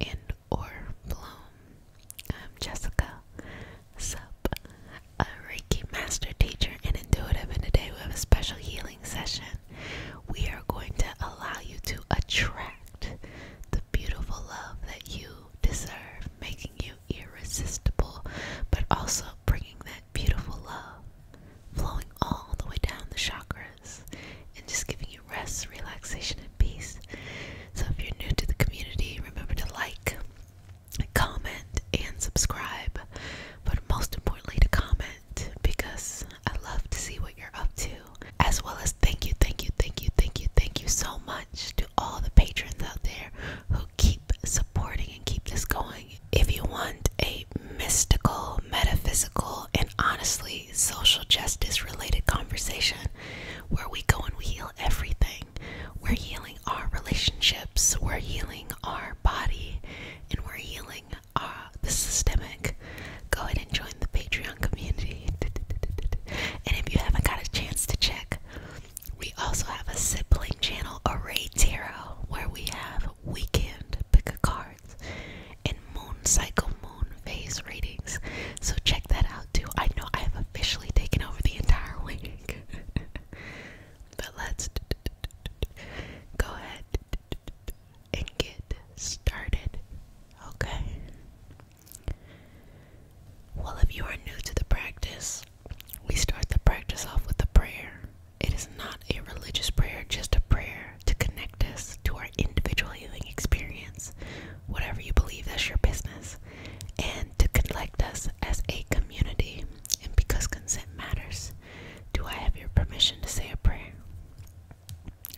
in or bloom. I'm Jessica, sup, a Reiki master teacher and intuitive, and today we have a special healing session. We are going to allow you to attract the beautiful love that you deserve, making you irresistible, but also bringing that beautiful love flowing all the way down the chakras and just giving you rest, relaxation, and peace. So, if you're new to the community, remember to like, comment, and subscribe, but most importantly, to comment because I love to see what you're up to. As well as thank you, thank you, thank you, thank you, thank you so much to all the patrons out there who keep supporting and keep this going if you want a mystical, metaphysical, and honestly social justice related conversation where we go and we heal everything, we're healing our relationships, we're healing our body, and we're healing our, uh, the systemic, go ahead and join the Patreon community. and if you haven't got a chance to check, we also have a sibling channel, Array Tarot, where we have weekend pick of cards and moon cycle moon phase readings. So check that out too. I know I have officially taken over the entire week. but let's go ahead and get started. Okay. Well, if you are new to the practice, we start the practice off with a prayer. It is not a religious prayer, just a prayer to connect us to our individual healing experience, whatever you believe that's your business, and to connect us as a community. And because consent matters, do I have your permission to say a prayer?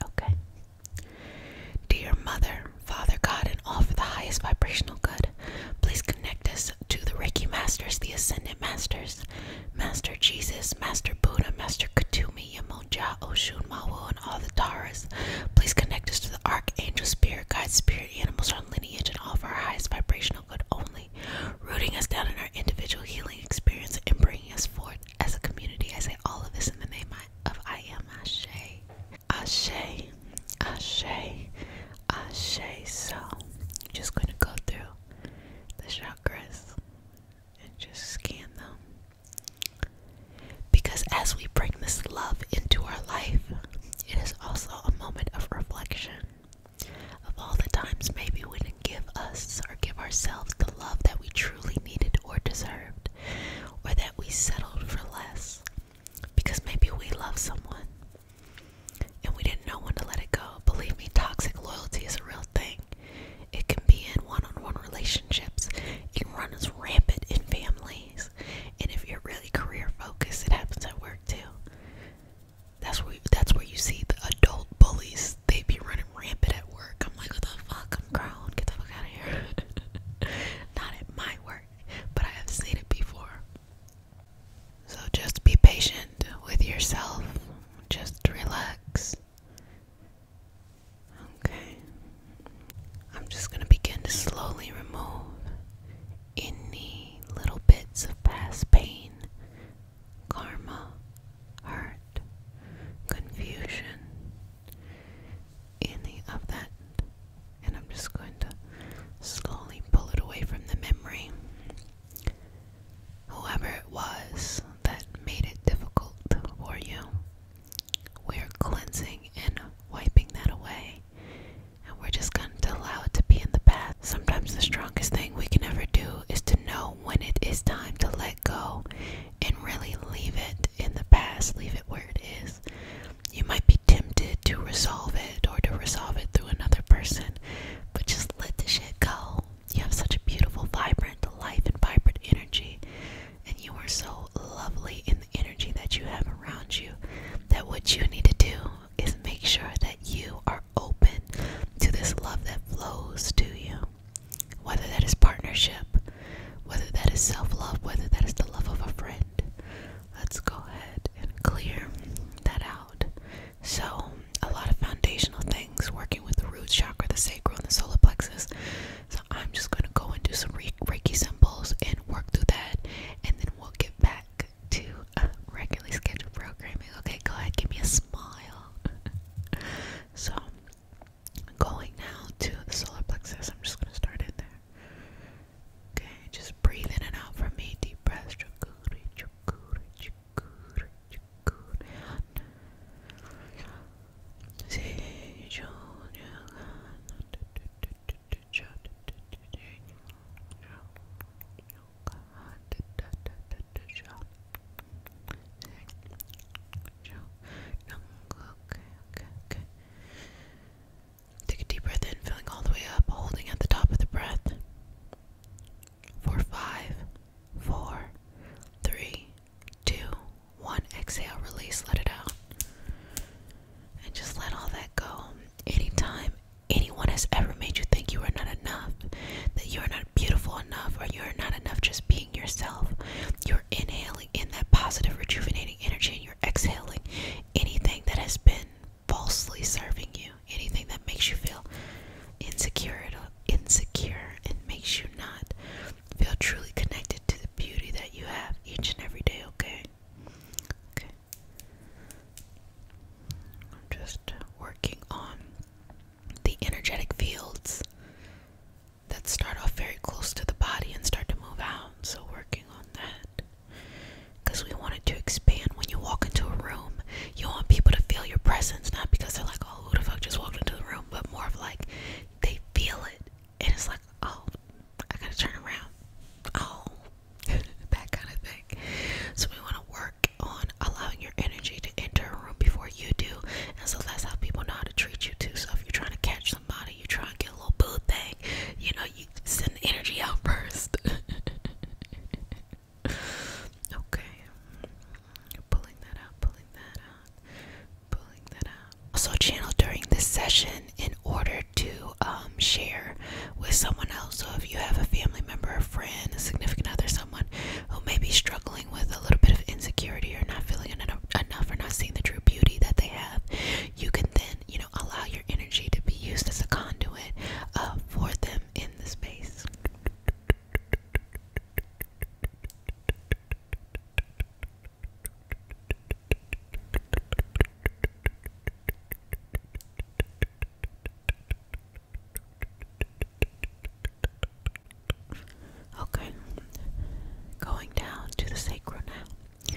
Okay. Dear Mother, Father God, and all for the highest vibrational good, please connect us to the Reiki Masters, the Ascendant Masters, Master Jesus, Master Buddha, Master Katumi, Yamonja, Oshun, Mawu, and all the Taras. Please connect us to the Archangel, Spirit, Guide, Spirit, Animals, our lineage, and offer our highest vibrational good only, rooting us down in our individual healing experience and bringing us forth as a community. I say all of this in the name of I Am Ashe. Ashe, Ashe, Ashe. So, just going to go through the chakras and just scan them. Because as we bring this love into our life, it is also a moment of reflection of all the times maybe we didn't give us or give ourselves the love that we truly needed or deserved, or that we settled for less because maybe we love someone and we didn't know when to let it go. Believe me, toxic loyalty is a real thing. It can be in one on one relationships, it can run as rampant in families, and if you're really career focused, it happens at work too. That's where that's where you see the adult bullies. They be running rampant at work. I'm like, what the fuck? I'm grown. Get the fuck out of here. Not at my work, but I have seen it before. So just be patient with yourself. Just relax. Okay. I'm just going to begin to slowly remove any little bits of past pain, karma, hurt, confusion, any of that. And I'm just going to slowly pull it away from the memory. Whoever it was that made it difficult for you, we're cleansing and wiping that away. And we're just going to allow it to be in the past. Sometimes the strongest thing we can ever do is to know when it is time to let go and really leave it in the past, leave it where it is. You might be tempted to resolve it or to resolve it through another person, but just let the shit go. You have such a beautiful, vibrant life and vibrant energy. And you are so lovely in the energy that you have around you. That what you need to do is make sure that you are open to this love that flows to you. Whether that is partnership, whether that is self love, whether that is the love of a friend. Let's go ahead and clear that out. So, a lot of foundational things working with the root chakra, the sacral, and the solar plexus. So, I'm just going to go and do some Reiki symbols and work through that, and then we'll get back to regularly scheduled programming. Okay, go ahead, give me a smile. so, I'm going now to the solar plexus, I'm just going to start in there. Okay, just breathe in and out from me. Deep breaths. Chukuri, chukuri, Take a deep breath in, filling all the way up, holding at the top of the breath for five, four, three, two, one. Exhale, release, let it out. And just let all that go. Anytime anyone has ever made you think you are not enough, that you are not beautiful enough, or you are not enough just being yourself, you're inhaling in that positive, rejuvenating energy and you're exhaling anything that has been falsely serving you, anything that makes you feel insecure, insecure, and makes you not feel truly connected to the beauty that you have each and every day. Okay. Okay. I'm just working on the energetic fields that start off very close to the body and start to move out. So working on that because we wanted to expand. When you walk into a room, you want people to feel your presence, not because they're like, oh, who the fuck just walked into the room, but more of like they feel it, and it's like, oh, I gotta turn around, oh, that kind of thing. So we want to work on allowing your energy to enter a room before you do, and so that's how people know how to treat you too. So if you're trying to catch somebody, you try and get a little boo thing, you know, you send the energy out first. okay. Pulling that out, pulling that out, pulling that out. Also channel during this session in order to um, share with someone else. So if you have a family member, a friend, a significant other, someone who may be struggling with a little bit of insecurity or not feeling enough or not seeing the true beauty that they have, you can then, you know, allow your energy to be used as a conduit uh, for them in in the space. Okay, going down to the sacrum now.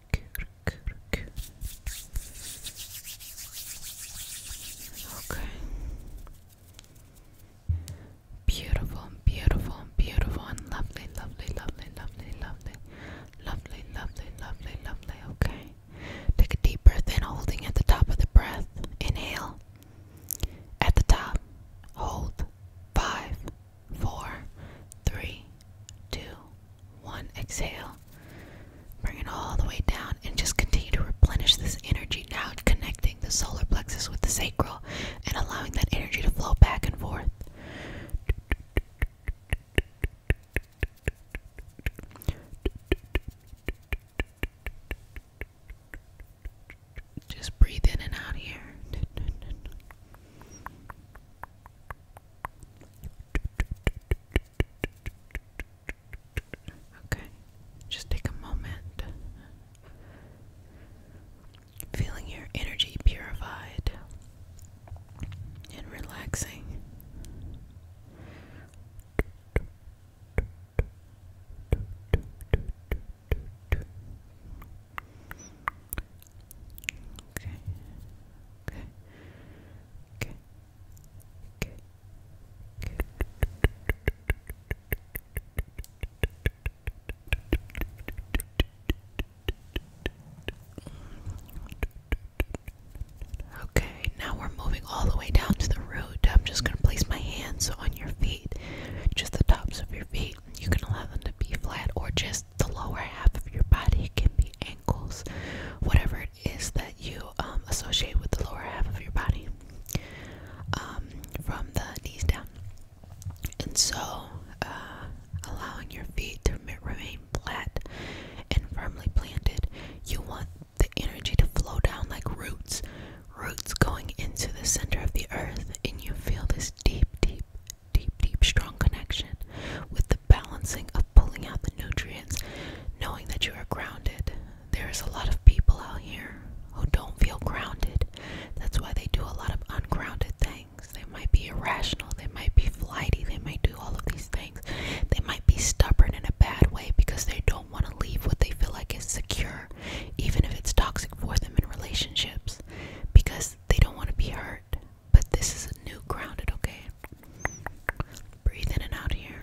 Okay. Beautiful, beautiful, beautiful, and lovely, lovely, lovely, lovely, lovely, lovely, lovely, lovely, lovely. Okay. Take a deep breath in, holding at the top of the breath. Inhale. At the top. Hold. Five, four, three, two, one exhale bring it all the way down and just continue to replenish this energy now connecting the solar plexus with the sacral and allowing that energy to flow back and forth just breathe in and out here Okay, just take a moment. Feeling your energy purified and relaxing. Okay. Okay. Okay. Okay. Okay. Okay, now we're moving all the way down to the root. I'm just going to place my hands on your feet, just the tops of your feet. You can allow them to be flat or just the lower half of your body. can be ankles, whatever it is that you um, associate with the lower half of your body, um, from the knees down. And so, uh, allowing your feet to remain flat and firmly planted, you want the energy to flow down like roots, roots going into the center of the earth, and you feel this deep, deep, deep, deep, strong connection with the balancing of pulling out the nutrients, knowing that you are grounded. There is a lot of people out here who don't feel grounded. That's why they do a lot of ungrounded things. They might be irrational, they might be flighty, they might do all of these things. They might be stubborn in a bad way because they don't want to leave what they feel like is secure, even if it's toxic for them in relationships, because they don't want to be hurt. But this is a new grounded, okay? Breathe in and out here.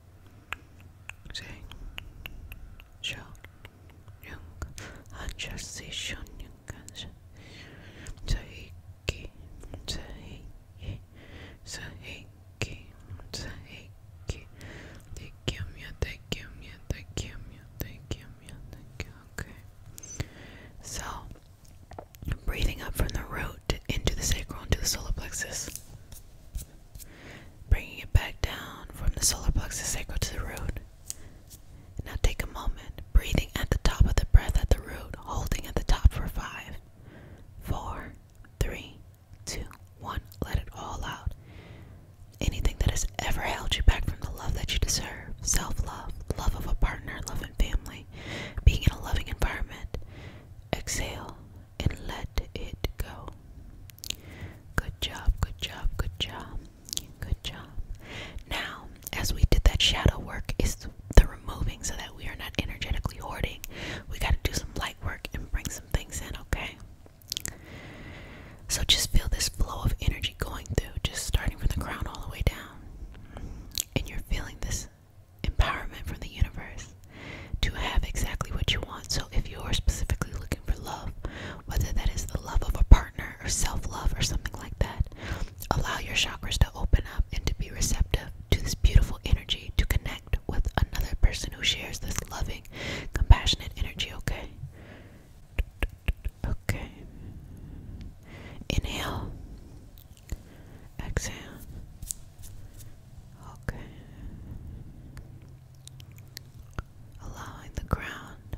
Jane, John, Young, and Jersey Shun, Young, Tahiki, Tahiki, Tahiki, Tahiki, Take him, you take him, you take him, you take him, you take him, okay. So, Breathing up from the root into the sacral into the solar plexus. Bringing it back down from the solar plexus sacral to the root. Now take a moment, breathing at the top of the breath at the root, holding at the top for five, four, three, two, one. Let it all out. Anything that has ever held you back from the love that you deserve self love, love of a partner, love and family, being in a loving environment, Exhale and let it go. Good job, good job, good job, good job. Now, as we did that shadow work, is the removing so that we are not energetically hoarding. We got to do some light work and bring some things in, okay? So just feel this flow of energy going through, just starting from the crown all the way down. And you're feeling this empowerment from the universe to have exactly what you want. So, if you're specifically looking for love, whether that is the love of a partner or self love or something like that, allow your chakras to open up and to be receptive to this beautiful energy to connect with another person who shares this loving, compassionate energy, okay? Okay. Inhale. Exhale. Okay. Allowing the ground.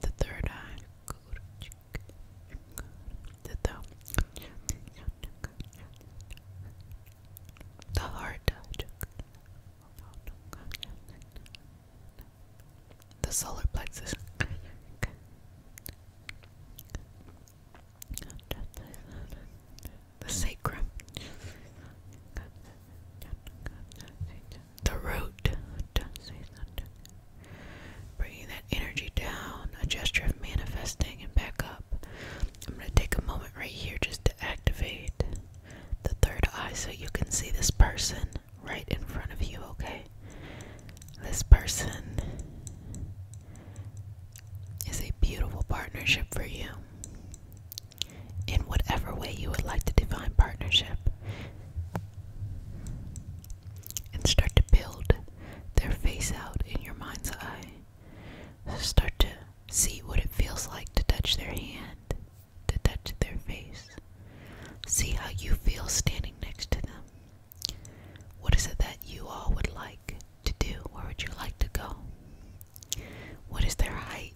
The third eye. The thumb. The heart the solar plexus. The sacrum, the root. Bringing that energy down, a gesture of manifesting and back up. I'm going to take a moment right here just to activate the third eye so you can see this person right in front of you, okay? This person is a beautiful partnership for you. In whatever way you would like to define partnership, and start to build their face out in your mind's eye. Start to see what it feels like to touch their hand, to touch their face. See how you feel standing next to them. What is it that you all would like to do? Where would you like to go? What is their height?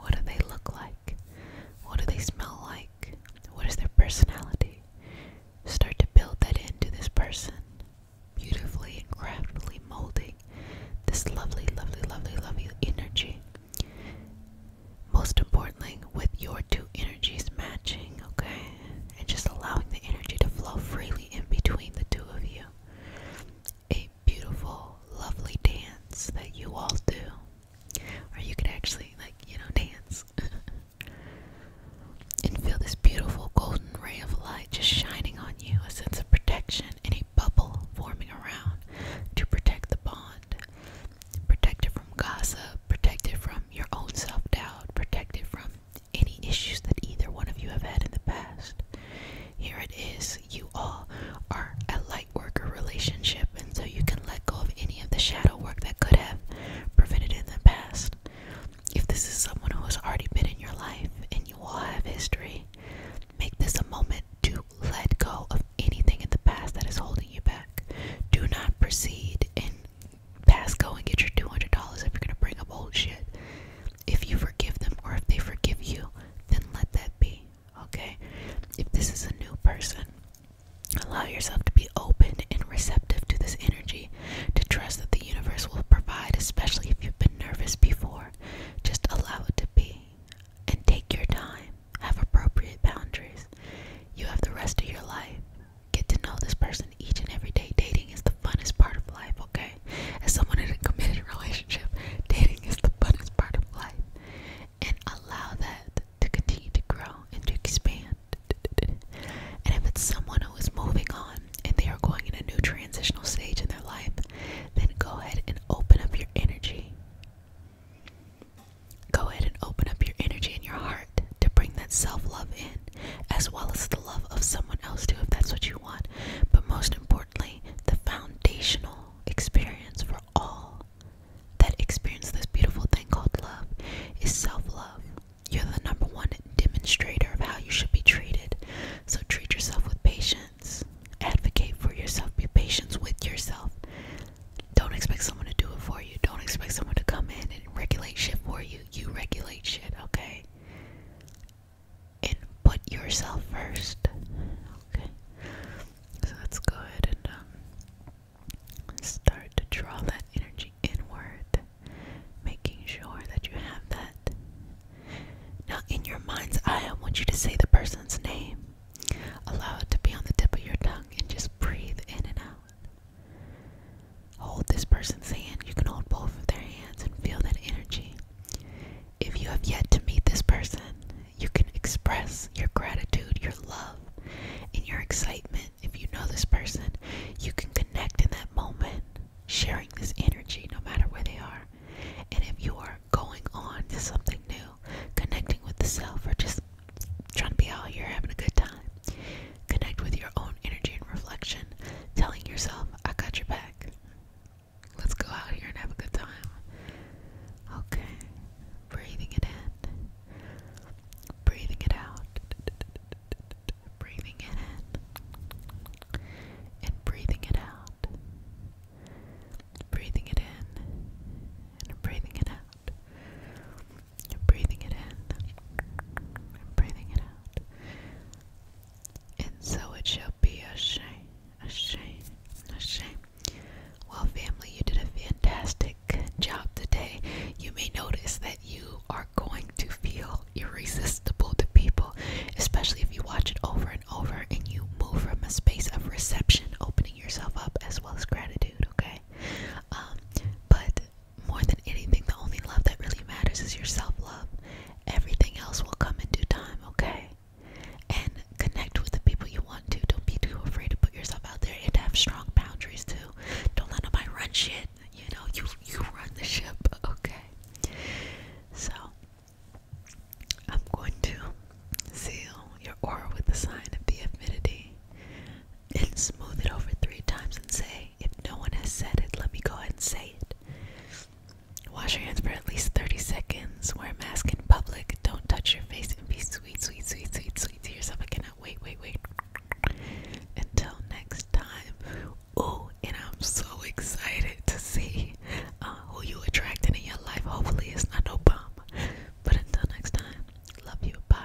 What do they look like? What do they smell like? What is their personality? Start to build that into this person, beautifully and craftily molding this lovely, lovely, lovely, lovely energy most importantly, with your two energies matching, okay? And just allowing the energy to flow freely in between the two of you. A beautiful, lovely dance that you all do. Or you could actually, like, you know, dance. and feel this beautiful golden ray of light just shining on you, a sense of protection, and a bubble forming around to protect the bond protected from gossip, protected from your own self doubt, protected from any issues that either one of you have had in the past. Here it is. You all are a light worker relationship, and so you can let go of any of the shadow work that could have prevented in the past. If this is someone who has already been in your life and you all have history, make this a moment to let go of anything in the past that is holding you back. Do not proceed and pass go and get your two hundred dollars if you're gonna bring up old shit. If you forgive them or if they forgive you, then let that be. Okay? If this is a new person, allow yourself to be open and receptive to this energy, to trust that the universe will provide, especially if you've been nervous before. Just allow it to be and take your time. Have appropriate boundaries. You have the rest of your life. Get to know this person each and every day. Dating is the funnest part of life, okay? As someone in a committed relationship, dating is the funnest part of life. And allow that to continue to grow and to expand. And if it's someone who is moving on and they are going in a new transitional stage in their life, then go ahead and open up your energy. Go ahead and open up your energy and your heart to bring that self love in, as well as the love of someone else, too, if that's what you want. But most importantly, the foundational experience for all that experience this beautiful thing called love is self love. You're the number one demonstrator of how you should be treated. So treat yourself with patience. Advocate for yourself. Be patient with yourself. Don't expect someone to do it for you. Don't expect someone to come in and regulate shit for you. You regulate shit, okay? And put yourself first. Okay. So let's go ahead and um, start to draw that energy inward, making sure that you have that. Now, in your mind's eye, I want you to say the person's name. Allow it to be on the tip of your tongue and just breathe in and out. Hold this person's hand. You can hold both of their hands and feel that energy. If you have yet to meet this person, you can express your gratitude, your love, and your excitement. If you know this person, you can connect in that moment, sharing this energy no matter where they are. And if you are going on to something new, connecting with the self, or just trying to be out here having a good time. Connect with your own energy and reflection, telling yourself, I got your back. Let's go out here and have a good time. Okay, breathing it in, breathing it out, breathing it in, and breathing it out, breathing it in, and breathing it out. And breathing it in and breathing it out. And so it shall be a shame, a shame, a shame. Well, family, you did a fantastic job today. You may notice that you are going to feel irresistible to people, especially if you watch it over and over and you move from a space of reception, opening yourself up as well as gratitude, okay? Um, but more than anything, the only love that really matters is your self love. Everything else will come in due time, okay? And connect with the people you want to. Don't be too afraid to put yourself out there and have strong boundaries too. Don't let nobody run shit. You know, you you run the ship, okay? So I'm going to seal your aura with the sign of the affinity and smooth it over three times and say, if no one has said it, let me go ahead and say it. Wash your hands for at least 30 seconds. Wear a mask in public. Don't touch your face and be sweet, sweet, sweet, sweet, sweet to yourself. I cannot wait, wait, wait. Until next time. Oh, and I'm so excited to see uh, who you attracted in your life. Hopefully, it's not no bomb. But until next time, love you. Bye.